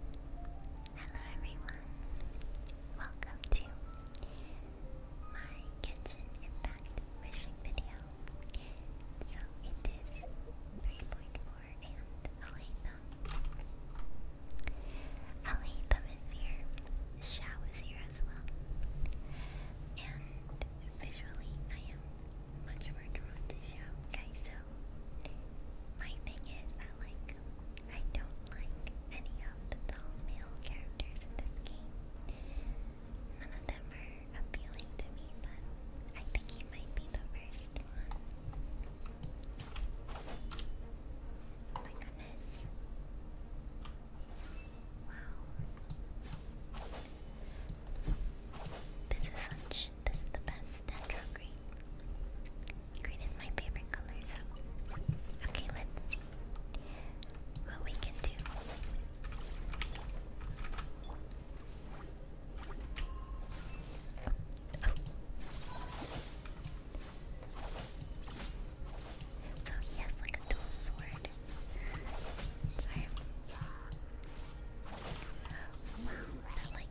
Hello everyone, welcome to my Kitchen Impact Wishing video. So it is 3.4 and Alatham. Alatham is here, Shao is here as well. And visually I am much more drawn to Shao, so my thing is that like I don't like any of the tall male characters in this game. None of them are appealing to me, but I think he might be the first one. Oh my goodness. Wow. This is such gosh, this is the best natural green. Green is my favorite color, so. Okay, let's see what we can do. Oh. So he has like a dual sword. Sorry. Wow, what like.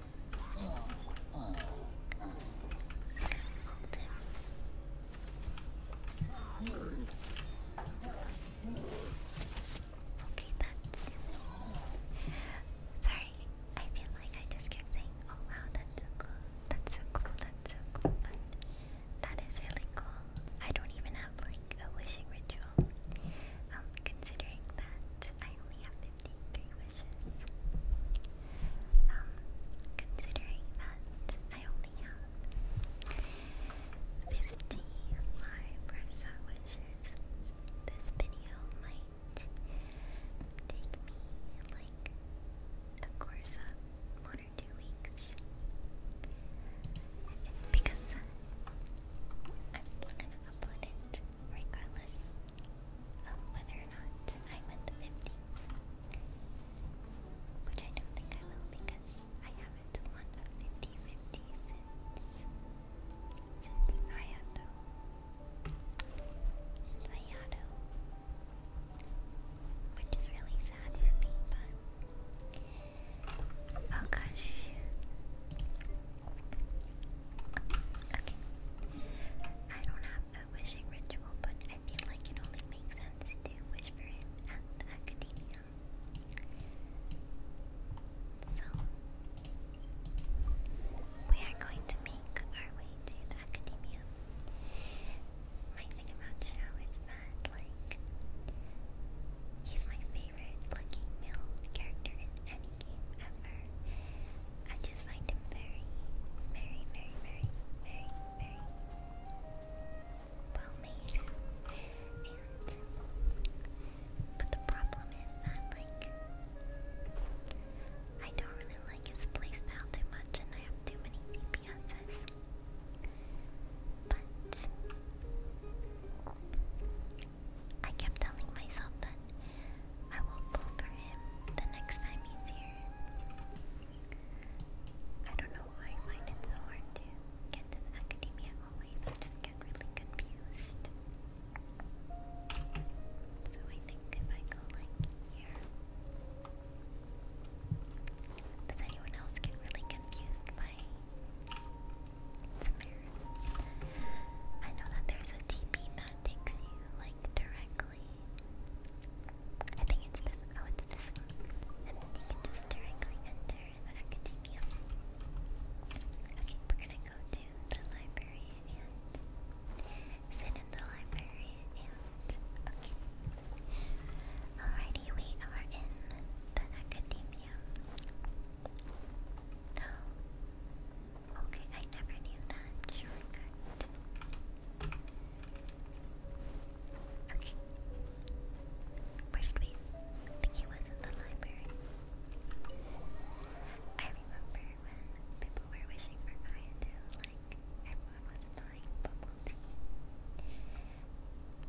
Okay, that's sorry. I feel like I just kept saying, "Oh wow, that's so cool, that's so cool, that's so cool," but that is really cool. I don't even have like a wishing ritual. Um, considering that I only have fifty-three wishes. Um, considering that I only have 50 live this video might take me like a course of one or two weeks. Because I'm gonna upload it regardless of whether or not I went to 50. Which I don't think I will because I haven't won a 50 50 since. since Nayato. Since Nayato. Which is really sad for me, but. Oh gosh. Okay. I don't have a wishing ritual, but I feel like it only makes sense to wish for him at academia. So, we are going to make our way to academia. My thing about Shao is that, like, he's my favorite looking male character in any ever. I just find him very, very, very, very, very, very well made. but the problem is that like I don't really like his playstyle too much and I have too many DPSs. But I kept telling myself that I will pull for him the next time he's here. I don't know I find it so hard to get to the academia always. I just get really confused. So I think if I go like here. Does anyone else get really confused by I know that there's a that takes you like directly. I think it's this. Oh, it's this And then you can just directly enter the academia. Okay, we're gonna go to the library and sit in the library okay. Alrighty, we are in the academia. Okay, I never knew that Okay. Where did we? I think it was in the library. I remember when people were wishing for Iodine, like everyone buying bubble tea.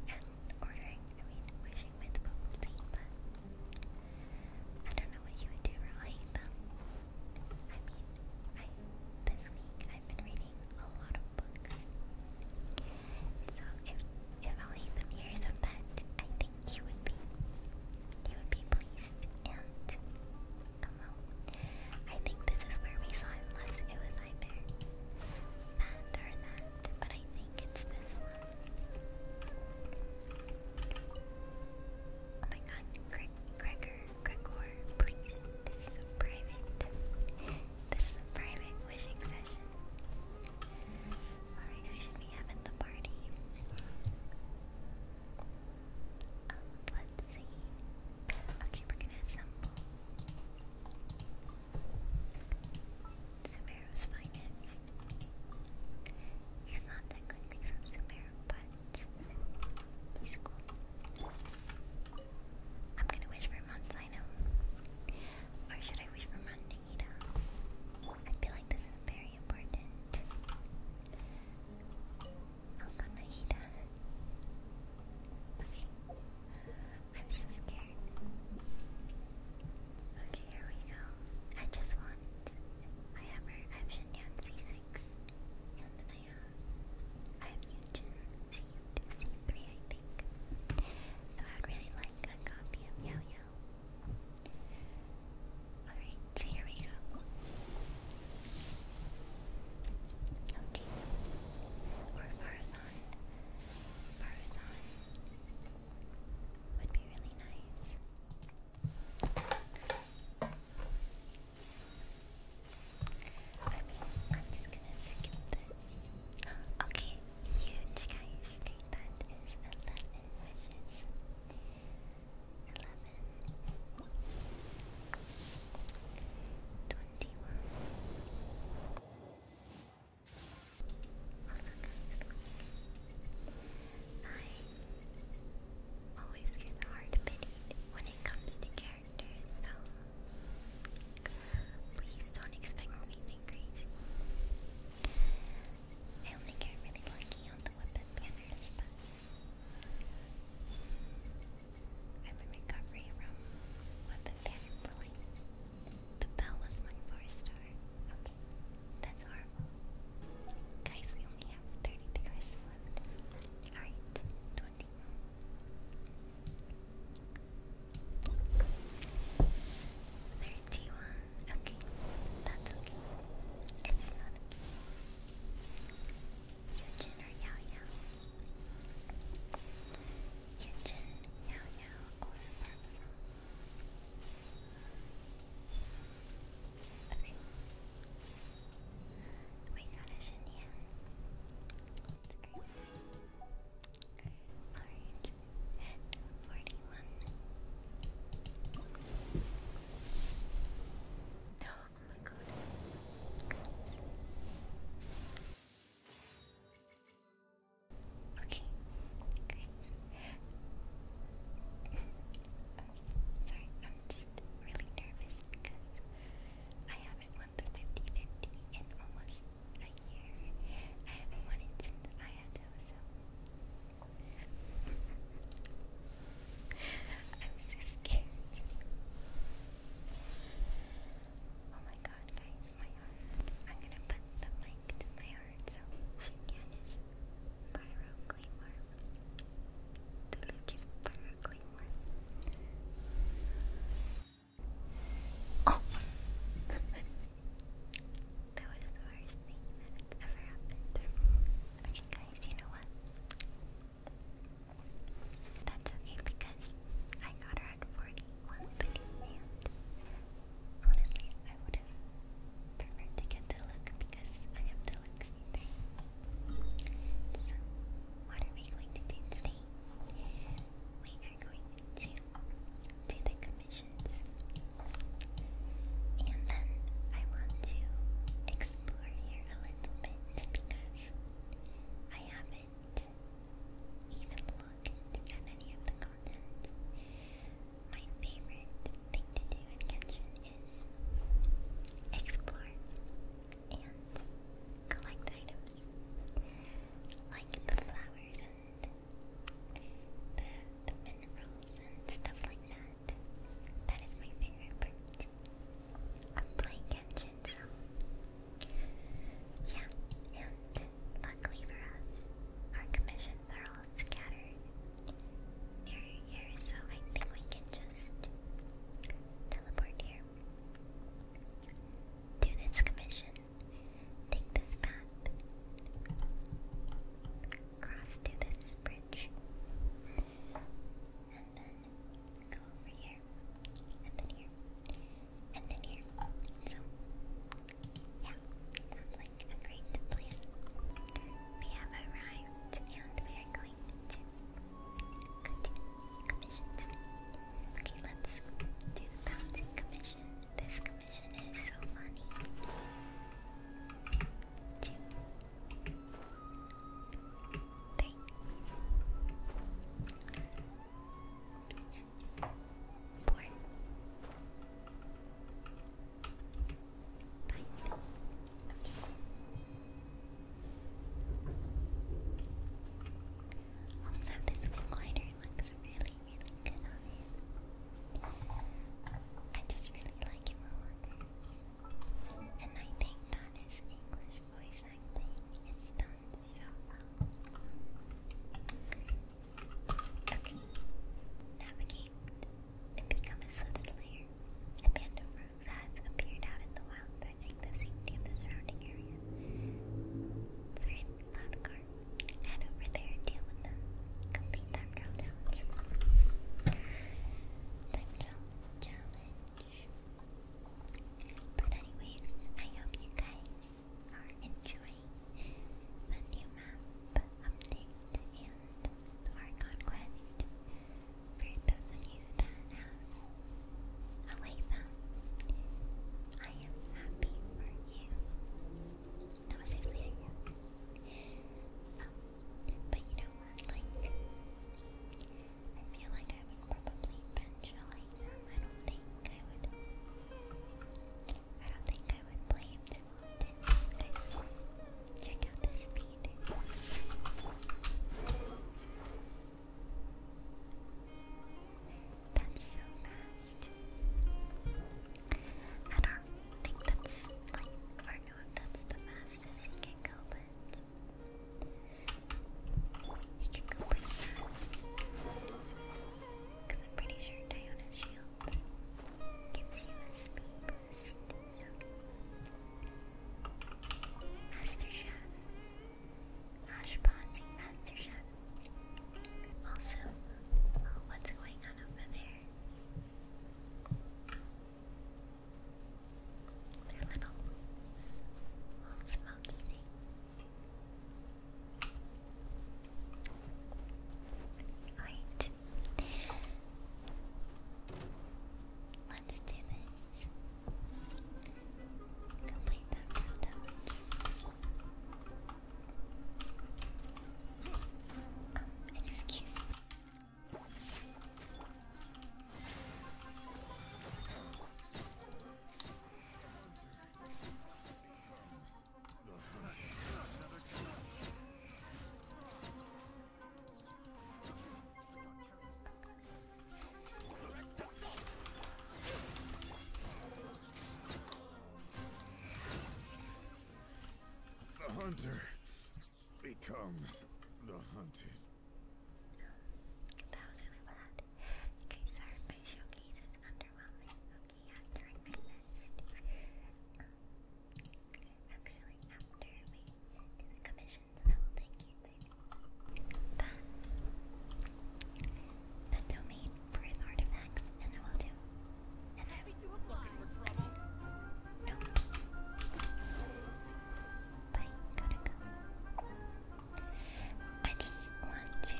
And ordering, I mean, wishing with bubble tea, but I don't know what you would do, or hate them. I mean, this week I've been reading a lot of books. So if if Aletham hears of that, I think he would be he would be pleased and I think this is where we saw him It was either that or that, but I think it's this one. Oh my god, Greg Gregor, Gregor, please. This is private. This is a private wishing session. Alright, who we have at the party? Um, let's see. Okay, we're gonna assemble. Sumeru's finest. He's not that quickly from Super, but he's cool. I'm gonna wish for Monsanto. Or should I wish for Montanita? I feel like this is very important. I'm oh, gonna eat Okay. I'm so scared. Okay, here we go. I just want I have I have Shenyan C6. And then I have. I have Yujin C C3, I think. So I'd really like a copy of Yao Yao. Alright, so here we go. Okay. Or Marathon. Marathon would be really nice. I mean, am just gonna skip this. Okay, huge guys. That is 11 wishes. 11. 21. Also, guys, like, always hear hard bidding when it comes to characters, so please don't expect anything crazy. I only get really lucky on the weapon banners, but I'm in recovery from weapon banner pulling. The bell was my four star. That's horrible. Guys, we only have 33 left. Alright, 20. Okay, that's okay. It's not okay. Yujin or Yao Yao? Yujin, Yao Yao, or Okay. We got a Shinya. Alright. 41. No, my god. Good. Okay, Sorry, I'm really nervous because I haven't won the 50 in almost a year. I haven't won it since I had those. I'm so scared. Oh my god, guys, my arm. I'm gonna put the mic to my arm. Birdsell, Oh! that was the worst thing that ever happened. Okay, guys, you know what? That's okay because I got her at 40, honestly, I would have to get the look because I have the looks thing. So, what are we going to do today? We are going to do the commissions. And then I want to explore here a little bit because I haven't even looked at any of the content my favorite thing to do in Genshin is explore and collect items like the flowers and the, minerals and stuff like that. That is my favorite part of playing Genshin, so yeah, and luckily for us, our commissions are all scattered near here, so I think we can just teleport here. Do this commission. Take this path. Cross to this bridge. And then go over here. And then here. And then here. So yeah, sounds like a great plan. We have arrived and we are going to continue commissions. Okay, let's do the bouncing commission. This commission is so funny. Two. Nice. Also, this wing looks really, really good on it. I just really like it, Walker. And I think that his English voice acting is done so well. Okay. Navigate to become a swift A band of rogues appeared out in the wild, threatening the safety of the surrounding area. Thread Loudcar, head over there deal with them. Complete time trial challenge. Time trial challenge. But anyways, I hope you guys are enjoying the new map update and our conquest for those of you I am happy for you. That was actually a um, but you know what, like I feel like I would probably eventually I don't think I would I don't think I would blame Okay. Check out the speed. That's so fast. I don't think that's like or no if that's the fastest he can go, but he can go pretty fast. i I'm pretty sure Diana's shield gives you a speed first. So, Master Chef, Master Chef. Also, what's going on over there? They're little, little smoky thing. Let's do this. Complete that rundown. Excuse me. The hunter becomes the hunted. That was really bad. Okay, sorry, my showcase underwhelming. Okay, yeah, during my list. Actually, after we do the commissions, I will take you to the, domain for his artifacts, and I will do. And I will do looking for trouble. Bye. Gotta go. I just want to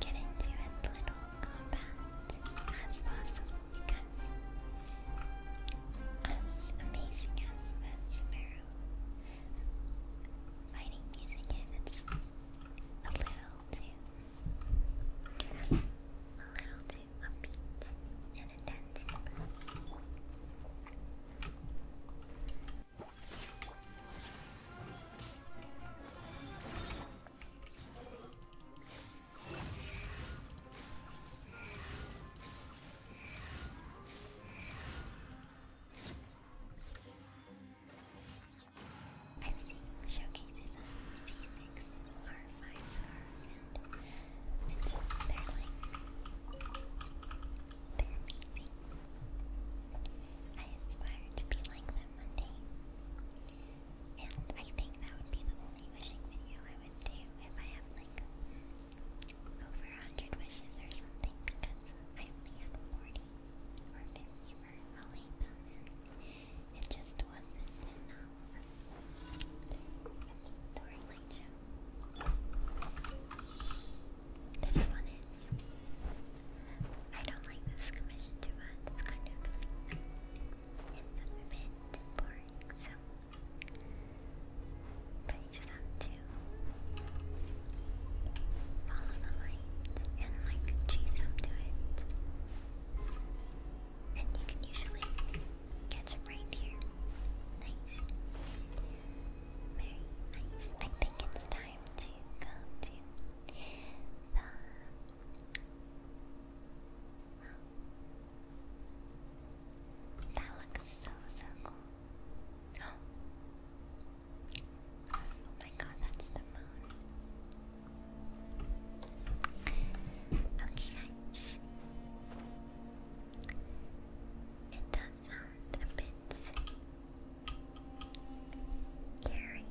get into as combat as possible because as amazing as that sparrow fighting music is, a little too, a little too upbeat and intense. I'm seeing showcases on C6 or 5 star, and they're like, they're amazing. I aspire to be like them one day. And I think that would be the only wishing video I I would do if I have like over a hundred wishes or something because I only had forty or fifty for LA It just wasn't enough. This one is I don't like this commission too much. It's kind of like a But you just have to follow the light and like chase up to it. And you can usually catch them right here. Nice. Very nice. I think it's time to go to the that looks so, so cool. Oh. my god, that's the moon. Okay, guys. It does sound a bit scary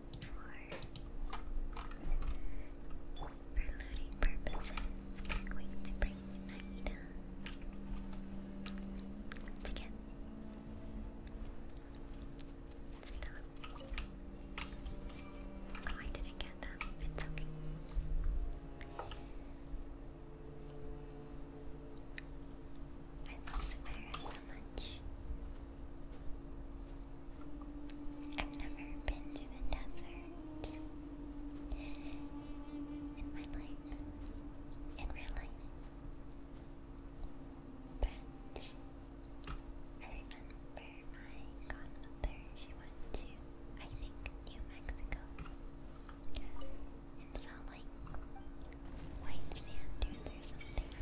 for loading purposes, we're going to bring Naida to get Oh, I didn't get that. It's okay. I love Samara so much. I've never been to the desert in my life, in real life. But I remember my godmother, she went to, I think, New Mexico and saw like white sand dunes or something.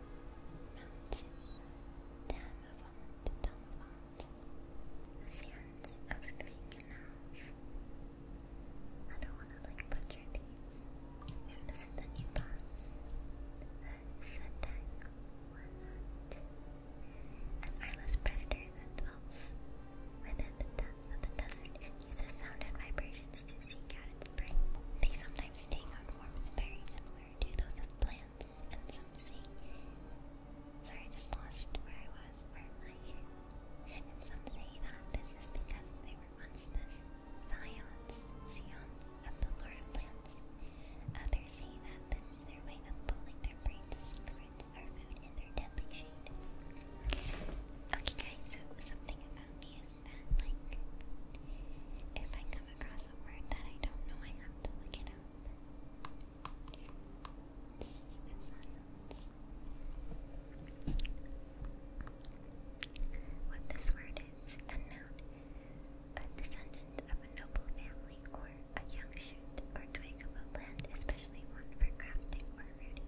Sands of three canals. I don't want to like butcher these. this is the new boss. The Sadak Warnat. An eyeless predator that dwells within the depths of the desert and uses sound and vibrations to seek out spring. They sometimes take on forms very similar to those of plants, and some say... Sorry, I just lost where I was, where am I? And some say that this is because they were once the scions, scions of the Laura plants. Others say that this is way of pulling their prey to or food in their deadly shade. Okay guys, so something about these that like if I come across a word that I don't know I have to look it up. What this word is, a a descendant of a noble family or a young shoot or twig of a plant, especially one for crafting or rooting.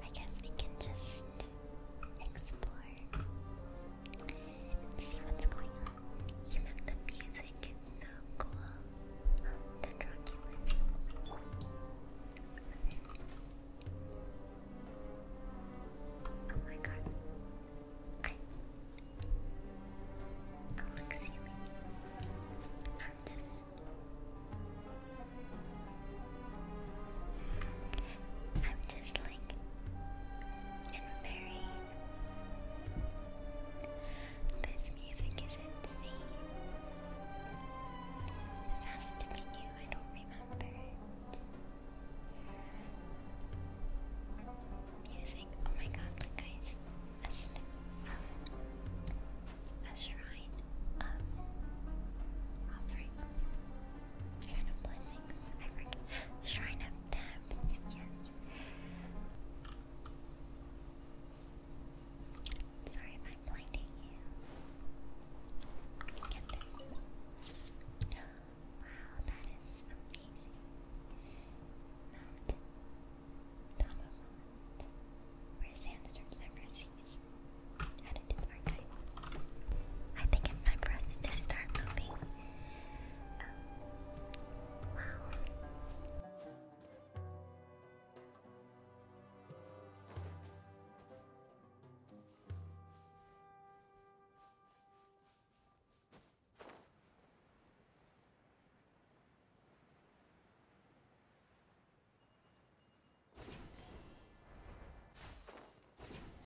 I guess we can just explore see what's going on. Even the music is so cool. The Dracula's Oh my god. I I look just like and very this music is insane. This has to be new, I don't remember Music, oh my god, look guys. Um, a, shrine of offerings. Shrine of Blessings. I forget. Shrine of Death. Sorry if I'm blinding you. Get this. Wow, that is amazing. Mount Tomahawk, where sandstorms never cease. Added to the I think it's time for us to start moving. wow.